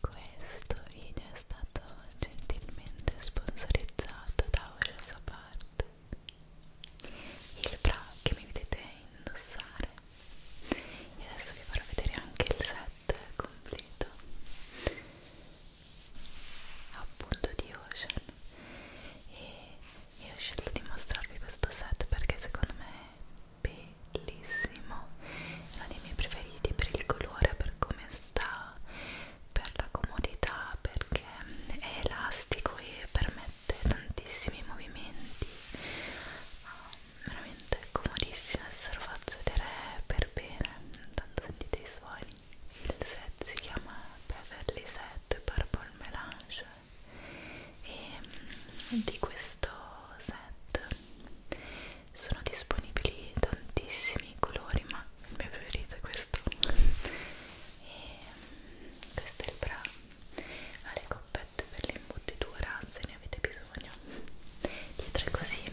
Questo video è stato gentilmente sponsorizzato da Ora Sapart, il bra che mi vedete indossare. E adesso vi farò vedere anche il set completo appunto di Ocean e io ho scelto di mostrarvi questo set perché secondo me bellissimo è uno dei miei preferiti per il colore per come sta per la comodità perché è elastico e permette tantissimi movimenti um, veramente è comodissimo adesso lo faccio vedere per bene intanto sentite i suoni il set si chiama Beverly Set Purple Melange e ehm, di questo set sono disponibili tantissimi colori ma il mio preferito è questo e ehm, questo è il bra ha le coppette per l'imbottitura se ne avete bisogno dietro è così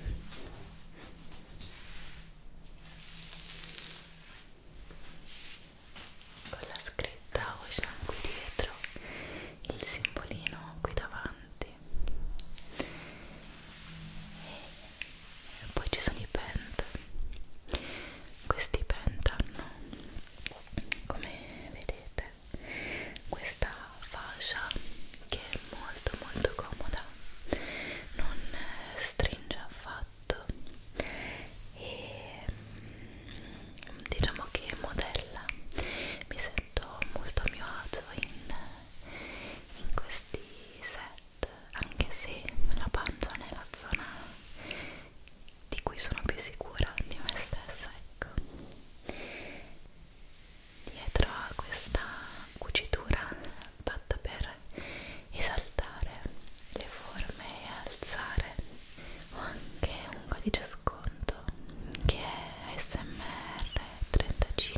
con la scritta Ocean qui dietro il simbolino qui davanti e poi ci sono i pent questi pent hanno come vedete questa fascia che è molto molto comoda non stringe affatto e diciamo che modella mi sento molto a mio agio in, in questi set anche se la pancia non è la zona di cui sono più sicura di me stessa ecco dietro a questa cucitura fatta per esaltare le forme e alzare ho anche un codice sconto che è smr35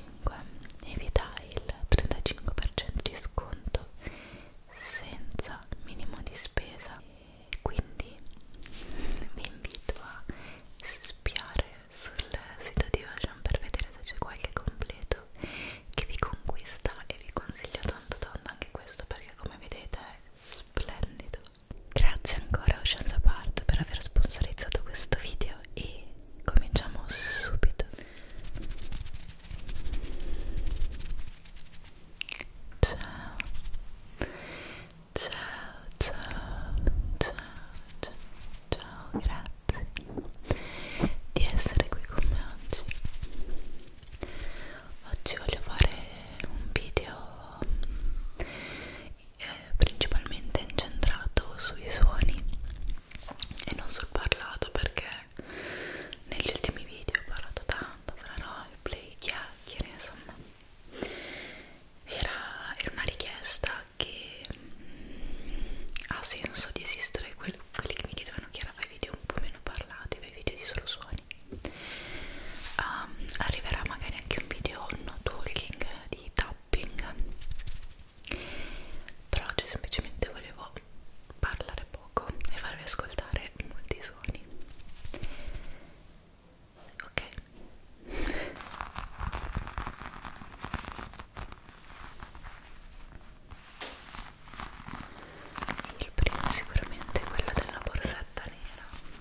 e vi dà il 35% di sconto senza minimo di spesa e quindi vi invito a spiare sul sito di Ocean per vedere se c'è qualche completo che vi conquista e vi consiglio tanto tanto anche questo perché come vedete è splendido Grazie ancora Oceans Apart per aver sponsorizzato questo video e cominciamo subito. Ciao. Ciao, ciao, ciao, ciao, ciao, grazie di essere qui con me oggi. Oggi voglio fare un video eh, principalmente incentrato sui suoni e non sul parlato perché negli ultimi video ho parlato tanto fra roleplay, chiacchiere, insomma era, era una richiesta che mh, mm, ha senso di esistere quelli, quelli che mi chiedevano Chiara fai video un po' meno parlati, fai video di solo suoni um, arriverà magari anche un video no talking di tapping però oggi semplicemente volevo parlare poco e farvi ascoltare molti suoni ok il primo sicuramente è quello della borsetta nera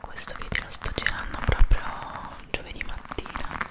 Questo video lo sto girando proprio giovedì mattina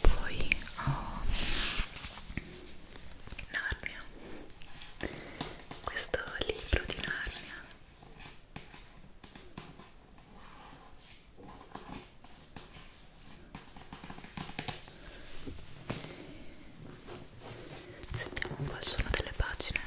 Poi ho Narnia, questo libro di Narnia sentiamo un po' il suono delle pagine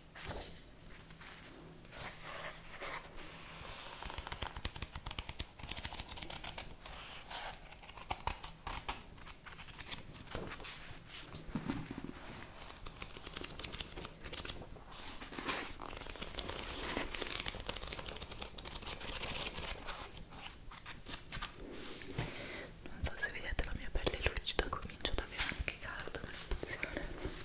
Non so se vedete la mia pelle lucida, comincia ad avere anche caldo per funzione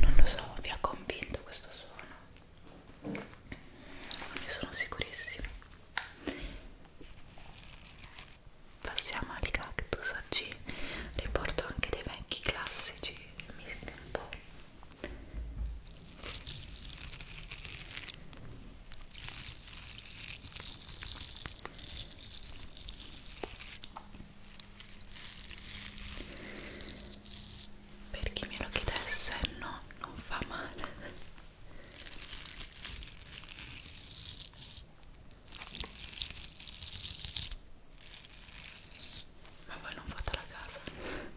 non lo so, vi ha convinto questo suono? Ne sono sicurissima. Passiamo al cactus, oggi riporto anche dei vecchi classici, mi un po' Per chi me lo chiedesse, no, non fa male. Ma voi non fate la casa.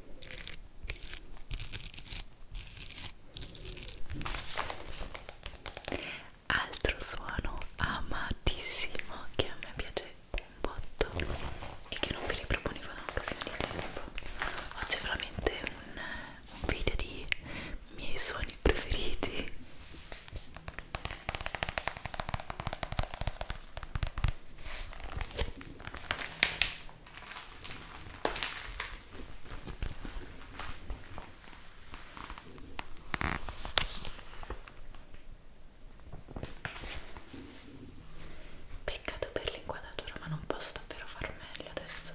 Altro suono amatissimo che a me piace un botto e che non vi riproponevo da un'occasione di tempo. Oggi è veramente un, un video di miei suoni preferiti. Peccato per l'inquadratura, ma non posso davvero far meglio adesso.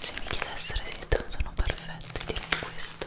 Se mi chiedessero se il sono perfetto, direi questo.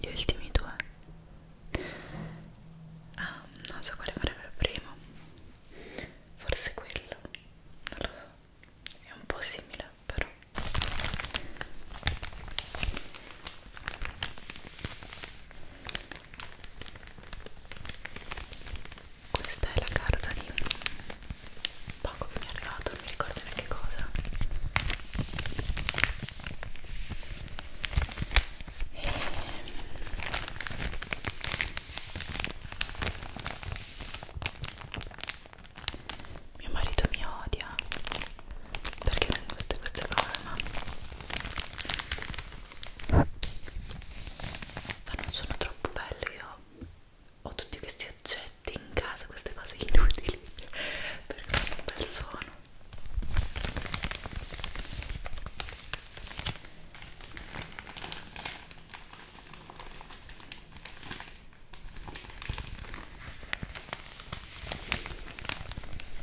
Gli ultimi due. Ah, non so quale farebbero primo. Forse quello. Non lo so. È un po' simile, però. Questa è la carta di poco mi è arrivato, non mi ricordo neanche cosa. E... Mio marito mi odia perché tengo tutte queste cose, ma ma non sono troppo bello io ho tutti questi oggetti in casa queste cose inutili perché fanno un bel suono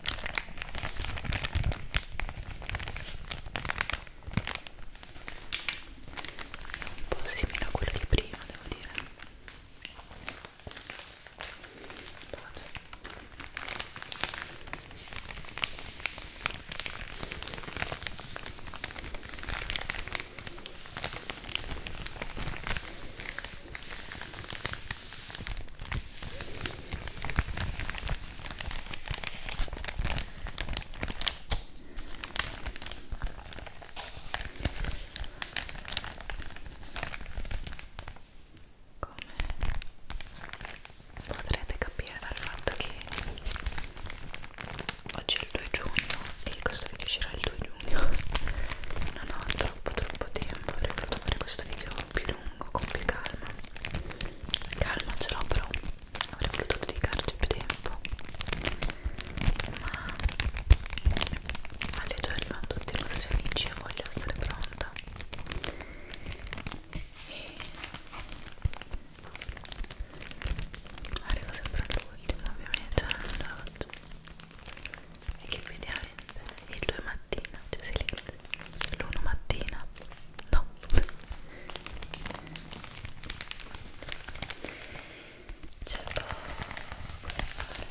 un po' simile a quello di prima devo dire potrete capire dal fatto che oggi è il 2 giugno e questo video uscirà il 2 giugno non ho troppo troppo tempo avrei voluto fare questo video più lungo lungo ecco, con più calma calma ce l'ho però avrei voluto dedicarci più tempo ma alle due arrivano tutti i nostri amici e voglio essere pronta e arrivo sempre all'ultimo ovviamente è che vediamo differente il 2 mattina, cioè si legge l'1 mattina, no c'è poco da fare Ecco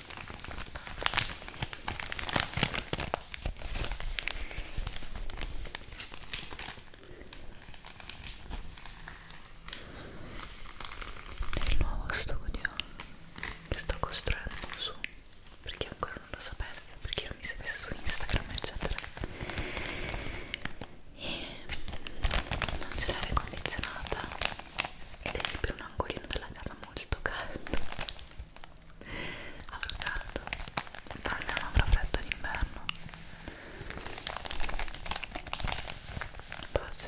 Nel nuovo studio che sto costruendo su perché ancora non lo sapete, perché non mi seguite su Instagram eccetera e non c'è l'aria condizionata ed è più un angolino della casa molto caldo avrò caldo però non avrò freddo d'inverno pace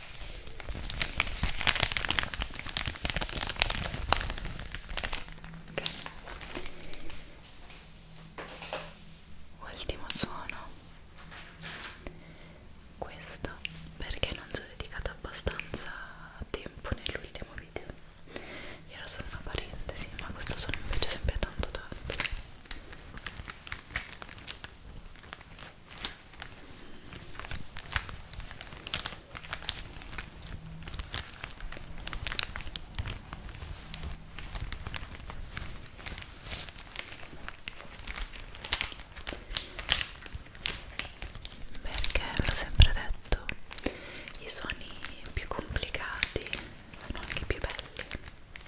Okay. Ultimo suono, questo perché non ci ho dedicato abbastanza tempo nell'ultimo video, era solo una parentesi, ma questo suono invece è sempre tanto tanto perché l'ho sempre detto i suoni più complicati sono anche più belli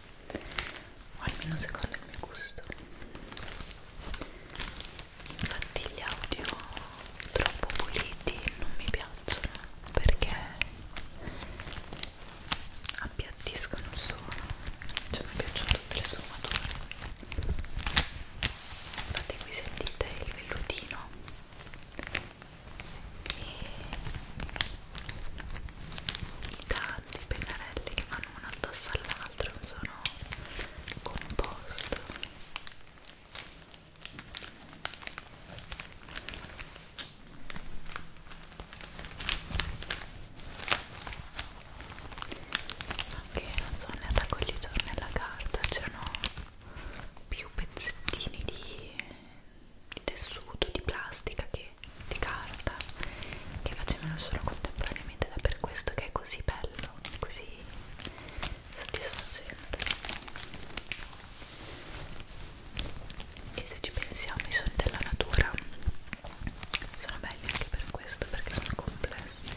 o almeno secondo il mio gusto infatti gli audio troppo puliti non mi piacciono perché appiattiscono il suono cioè mi piacciono tutte le sfumature infatti qui sentite il vellutino e i tanti pennarelli che stanno uno addosso all'altro, non sono composto. Anche non so, nel raccoglitore nella carta c'erano più pezzettini di, di tessuto, di plastica che di carta che facevano solo contemporaneamente ed è per questo che è così bello, così soddisfacente e se ci pensiamo i suoni della natura sono belli anche per questo perché sono complessi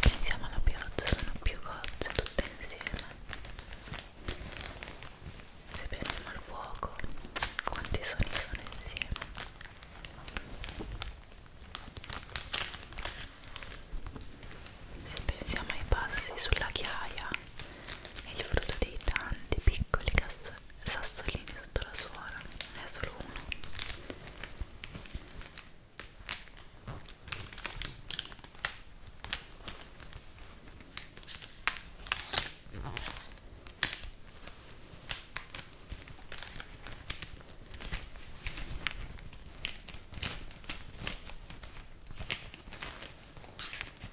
se pensiamo alla pioggia sono più gocce tutte insieme. Se pensiamo al fuoco, quanti sogni sono insieme. Se pensiamo ai passi sulla chiaia, è il frutto dei tanti piccoli cazzo sassolini sotto la suola, ne è solo uno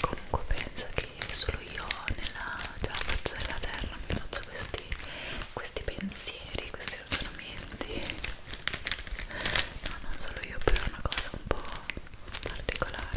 Comunque penso che solo io nella cioè, faccia della terra mi faccio questi, questi pensieri, questi ragionamenti. No, non solo io, però è una cosa un po' particolare.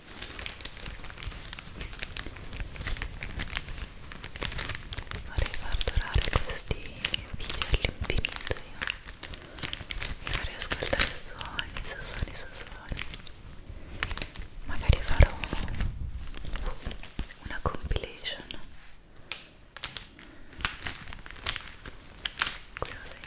vorrei far durare questi video all'infinito io e vorrei ascoltare suoni, suoni, suoni magari farò una compilation Così.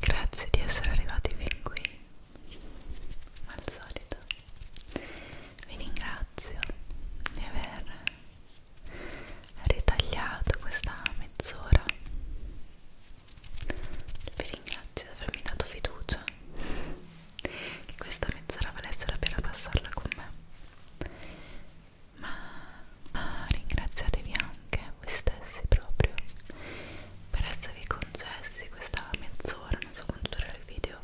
Grazie di essere arrivati fin qui, al solito. Vi ringrazio di aver ritagliato questa mezz'ora. Vi ringrazio di avermi dato fiducia che questa mezz'ora valesse la pena passarla con me ma, ma ringraziatevi anche voi stessi proprio per esservi concessi questa mezz'ora, non so quanto durerà il video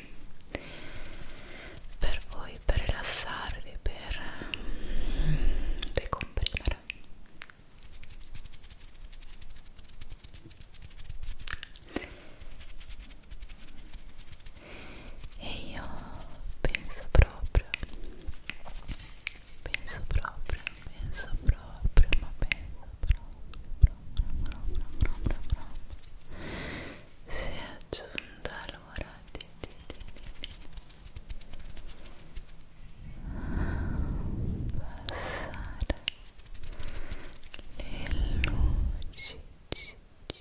per voi, per rilassarvi, per mm, decomprimere e io penso proprio penso proprio penso proprio ma penso proprio proprio proprio proprio si è aggiunta l'ora di, di, di, di, di passare le luci ci, ci, ci,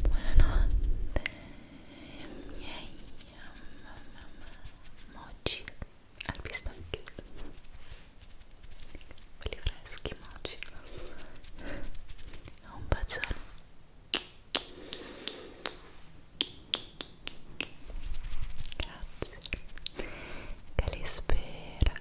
Buonanotte miei moci al pistacchio belli freschi moci un bacione grazie che li spera